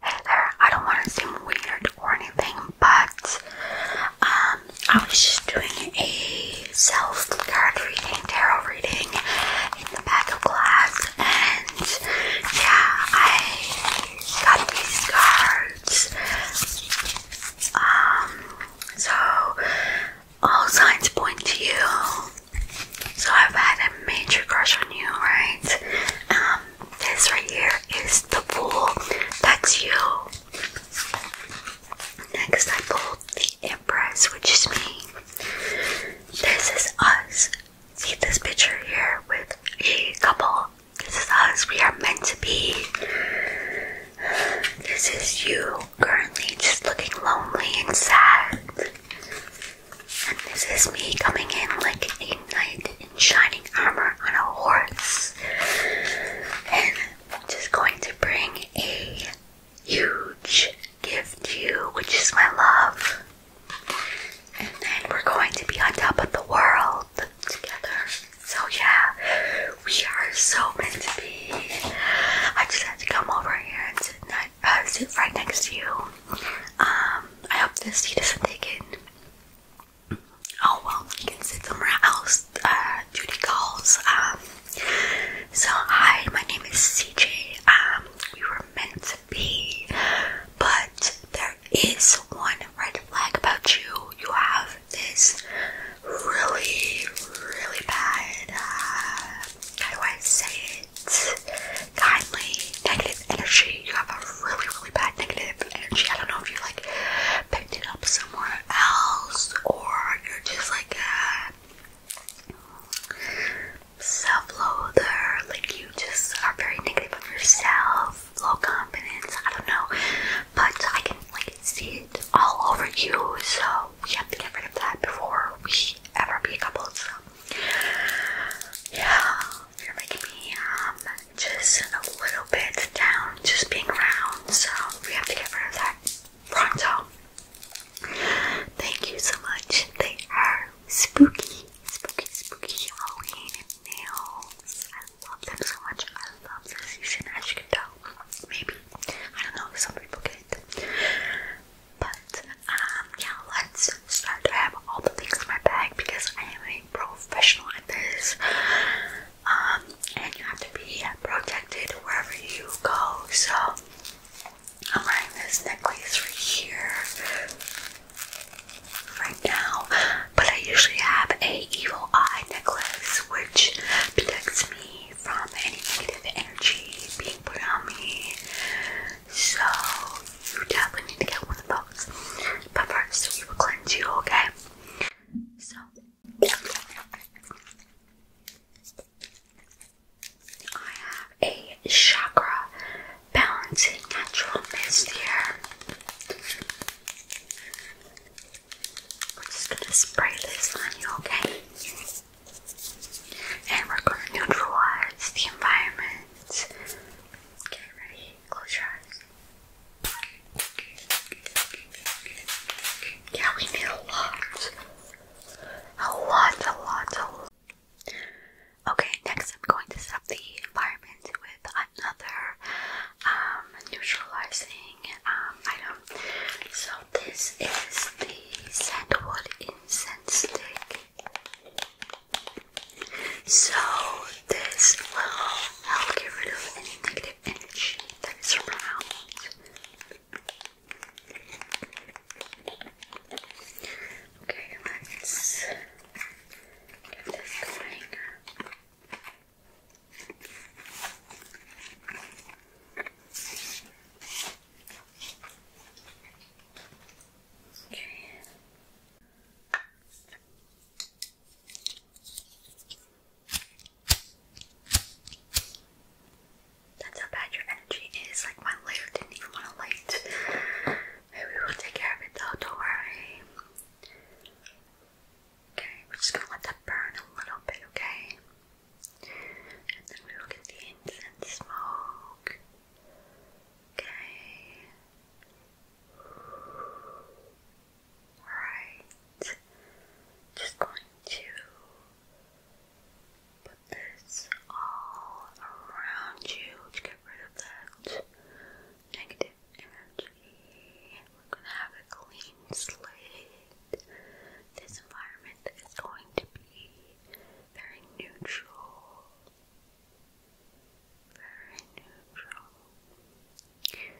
Hey there, I don't want to seem weird or anything, but um, I was just doing a self card reading, tarot reading in the back of class, and yeah, I got these cards. Um, so all signs point to you so I've had a major crush on you, right? Um, this right here is the bull. That's you. Next, I pulled the Empress, which is me. This is us. See this picture here with a couple. This is us. We are meant to be. This is you currently just looking lonely and sad. And this is me coming in like a knight in shining armor on a horse. And just going to bring a huge gift to you, which is my love. And then we're going to be on top of the world together. So, yeah, we are so meant to be. I just had to come over here and sit uh, right next to you. Um, I hope this he doesn't take it. Oh well, you can sit somewhere else. Uh, duty calls. Um, so hi, my name is CJ. Um, we were meant to be, but there is one red flag about you. You have this really, really bad. Uh, how do I say it? kindly negative energy. You have a really, really bad negative energy. I don't know if you like picked it up somewhere else or you're just like a self-loather, like you just are very negative of yourself, low confidence. I don't know, but I can like see it all over you. So we have to get rid of that before we ever be a couple. So yeah, you're making me um just a little bit down, just being round. So we have to get rid of that pronto. Thank you so much. They are spooky, spooky, spooky Halloween nails. I love them so much. I love this season, as you can tell. Maybe I don't know some people get but um, yeah, let's start. I have all the things in my bag because I am a professional at this. Um, and you have to be protected wherever you go. So I'm wearing this necklace right here right now. But I usually have a evil eye necklace which protects me from any negative energy being put on me. So you definitely need to get one of those. But first, we will cleanse you, okay? So. I have a chakra balancing natural mist here. We're just gonna spray this on you, okay? And we're going to neutralize the environment. Okay, ready? Close your eyes. Yeah, we need a lot. A lot, a lot, a lot. Okay, next I'm going to set the environment with another um, neutralizing um, item. So this is the sandalwood in so this will help get rid of any negative energy that is around. Okay, let's get this going. Okay. That's how bad your energy is. Like my lighter didn't even want to light. We will take care of it though, don't worry. Okay, we're just gonna let that burn a little bit, okay? and then we will get the incense smoke. Okay. Alright. Just going to put this all around you to get rid of that negative energy. We're gonna have a clean slate. This environment is going to be very neutral, very neutral. Okay.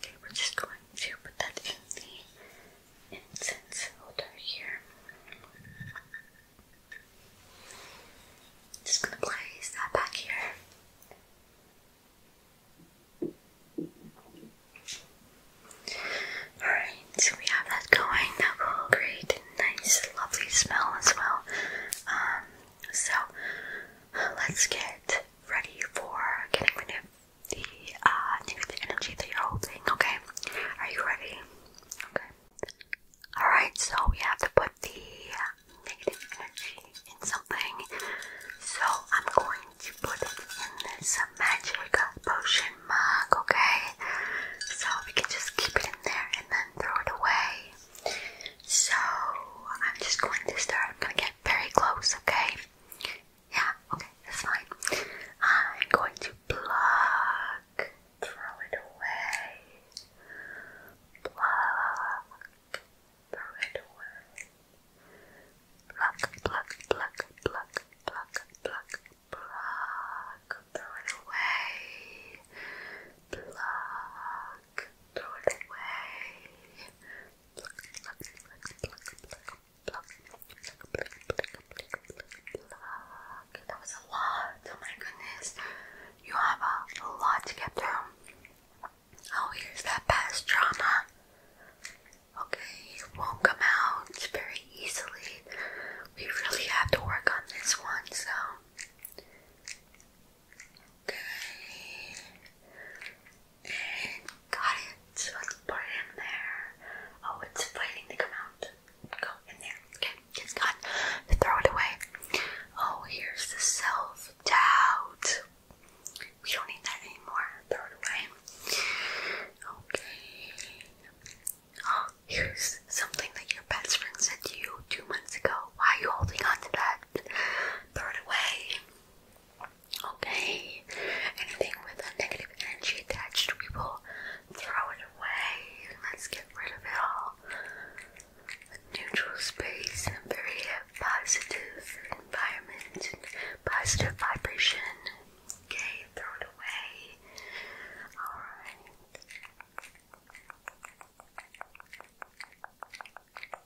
Okay, we're just going to put that in the incense holder here. Just gonna place that back here. Alright, we have that going. That will create a nice, lovely smell as well. Um, so, let's get ready for getting rid of the negative uh, energy that you're holding, okay? Are you ready? Okay. Alright, so we have to put the negative energy in something. So I'm going to put it in this magic potion mug, okay? So we can just keep it in there and then throw it away. So I'm just going to start. I'm gonna get very close, okay? Yeah, okay, that's fine. I'm going to pluck, throw it away. Pluck, throw it away. Pluck, pluck, pluck, pluck, pluck, pluck, pluck, throw it away. Pluck, throw it away. Pluck, pluck, pluck, pluck, that was a lot. Oh my goodness. You have a lot to get through. Oh, here's that past trauma. Okay, it won't come out very easily. We really have to work on this one, so. Okay. Got it. Let's put it in there. Oh, it's fighting to come out. Go in there. Okay, it's gone. Throw it away. Oh, here's the self doubt. We don't need that anymore. Throw it away. Okay. Oh, here's something that your best friend said to you two months ago. Why are you holding on that? Throw it away. Okay, anything with negative energy attached, we will throw it away. Let's get rid of it all. neutral space and a very positive environment and positive vibration. Okay, throw it away. Alright.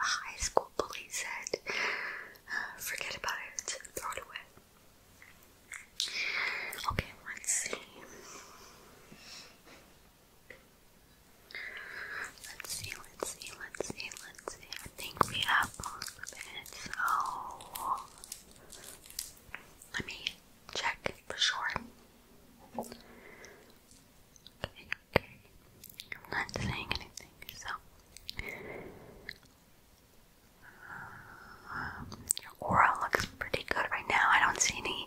a high school bully said, uh, forget about it, throw it away. Okay, let's see. Let's see, let's see, let's see, I think we have most of it, so let me check for sure. Okay, okay. I'm not saying anything, so. your aura looks pretty good right now. I don't see any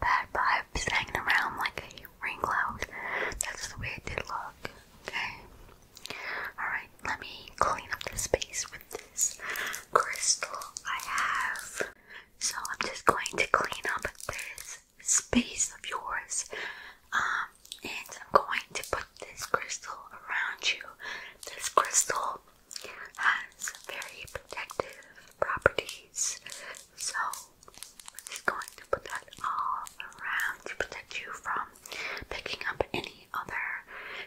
bad vibes hanging around like a rain cloud. That's the way it did look. Okay. Alright, let me clean up the space with this crystal I have. So I'm just going to clean up this space of yours. Um, and I'm going to put this crystal around you. This crystal has very protective properties, so we're just going to put that all around to protect you from picking up any other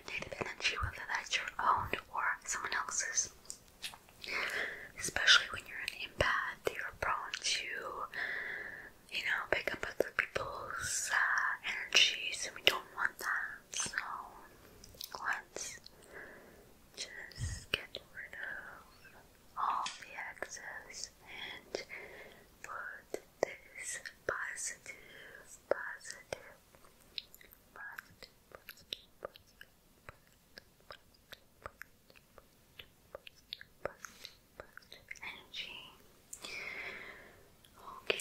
negative energy, whether that's your own or someone else's. Especially when you're an empath, you're prone to, you know, pick up other people's uh, energies, and we don't want that. So let's just get rid of all the excess and put this positive, positive, positive, positive, positive energy. Okay,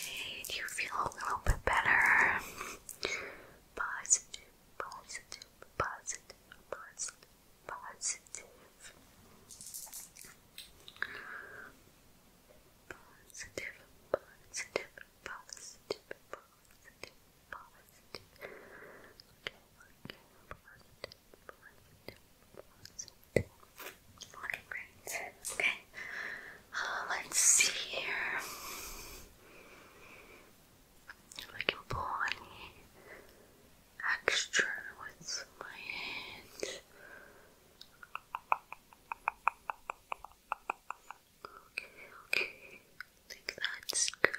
do you feel a little bit better? Positive, positive, positive, positive, positive. Positive, positive, positive, positive, positive. Okay, okay, positive, positive, positive. Looking great. Okay. Uh, let's see here. If I can pull any extra with my hand. Okay, okay that's good.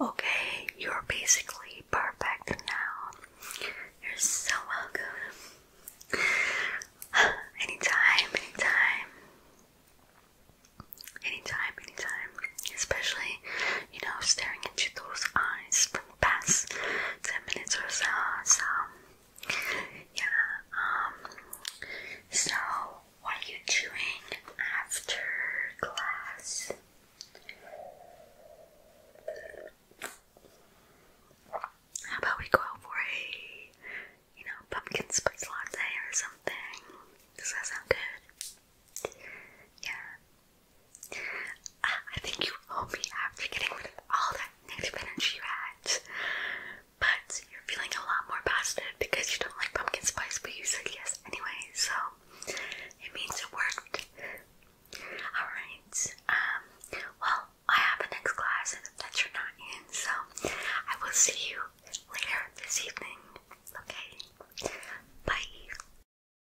Okay, you're basically perfect now. You're so welcome. anytime, anytime. Anytime, anytime. Especially, you know, staring into those eyes Pass 10 minutes or so. So, yeah, um, so what are you doing after class? How about we go out for a, you know, pumpkin spice latte or something? Does that sound good? Yeah. I think you owe me after getting rid of all that negative energy you had. But you're feeling a lot more positive because you don't like pumpkin spice, but you said yes anyway, so it means it worked. Alright, um, well, I have the next class that you're not in, so I will see you later this evening. Okay? Bye.